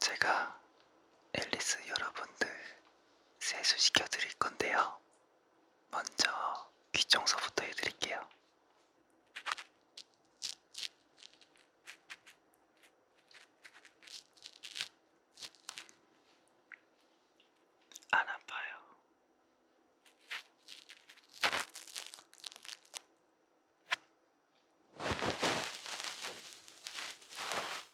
제가 앨리스 여러분들 세수시켜 드릴 건데요. 먼저 귀 청소부터 해드릴게요. 안 아파요.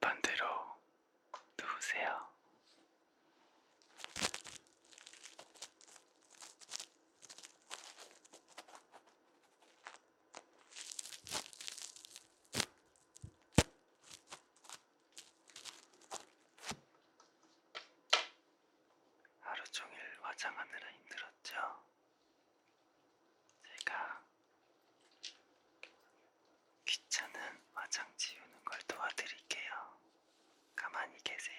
반대로 누우세요. 하루 종일 화장하느라 힘들었죠? 제가 귀찮은 화장 지우는 걸 도와드릴게요. 가만히 계세요.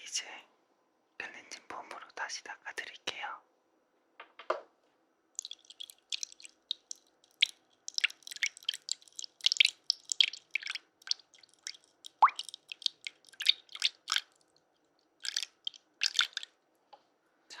이제 클렌징 폼으로 다시 닦아드릴게요. 자,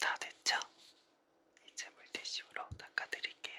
다 됐죠? 이제 물티슈로 닦아드릴게요.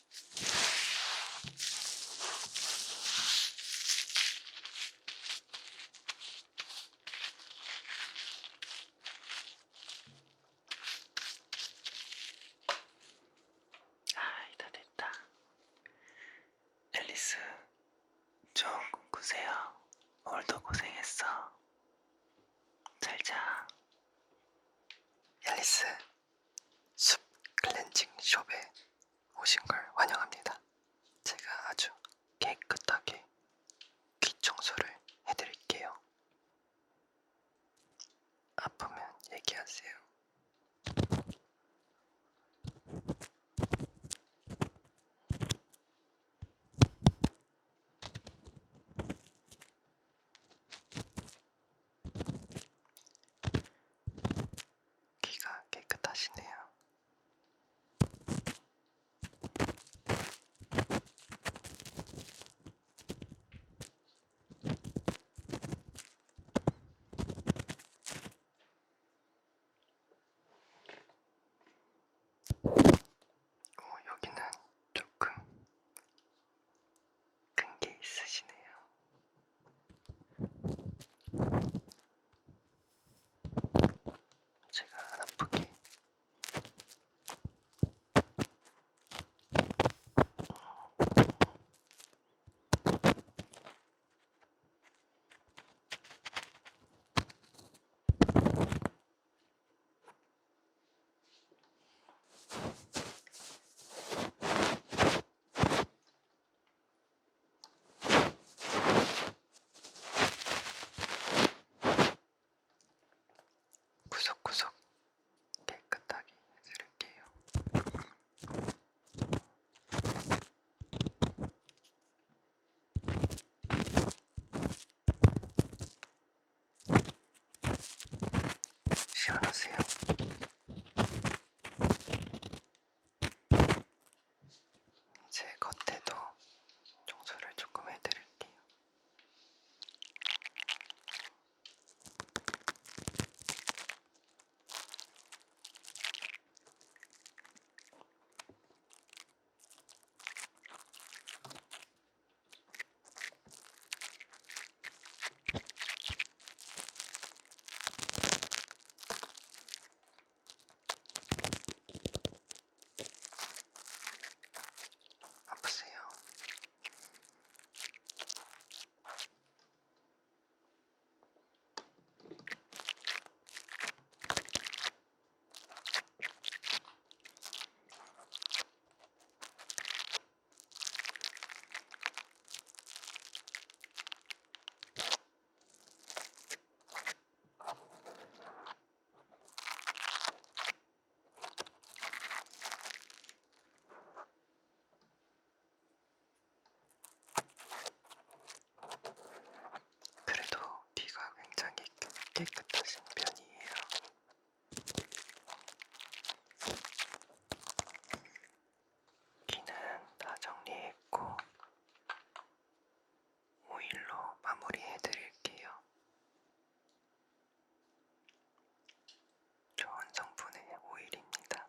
아이 다 됐다. 앨리스 좋은 꿈 꾸세요. 오늘도 고생했어. 잘자. 앨리스. 숲 클렌징 숍에 오신 걸 환영합니다. 제가 아주 깨끗하게 귀 청소를 해드릴게요. 아프면 얘기하세요. 귀가 깨끗하시네요. 어, 여기는 조금 큰게 있으시네요. 제가 안 아프게 구석구석 깨끗하게 해드릴게요. 시원하세요? 제 겉에도 청소를 조금 해드릴게요. 아프세요? 그래도 귀가 굉장히 깨끗하신 편이에요. 귀는 다 정리했고 오일로 마무리해 드릴게요. 좋은 성분의 오일입니다.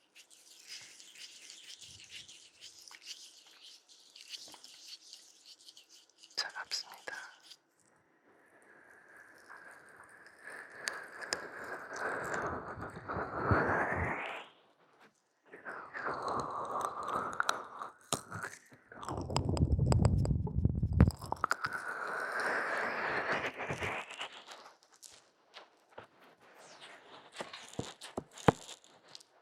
차갑습니다.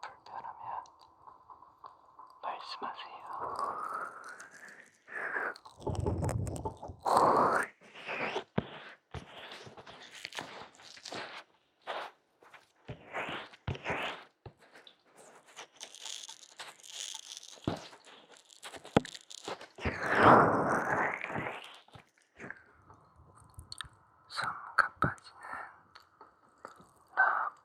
불편하면 말씀하세요. 손 가빠지는 나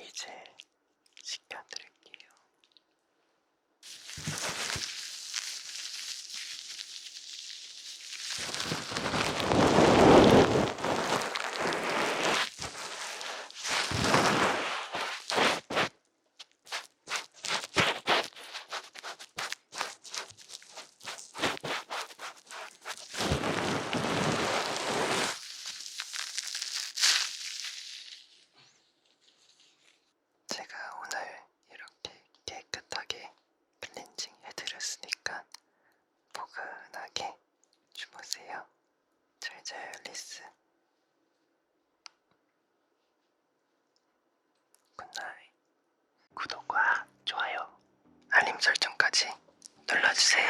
이제 시켜드릴게요. 제가 오늘 이렇게 깨끗하게 클렌징 해드렸으니까 포근하게 주무세요. 잘잘 리스. 굿나잇. 구독과 좋아요, 알림 설정까지 눌러주세요.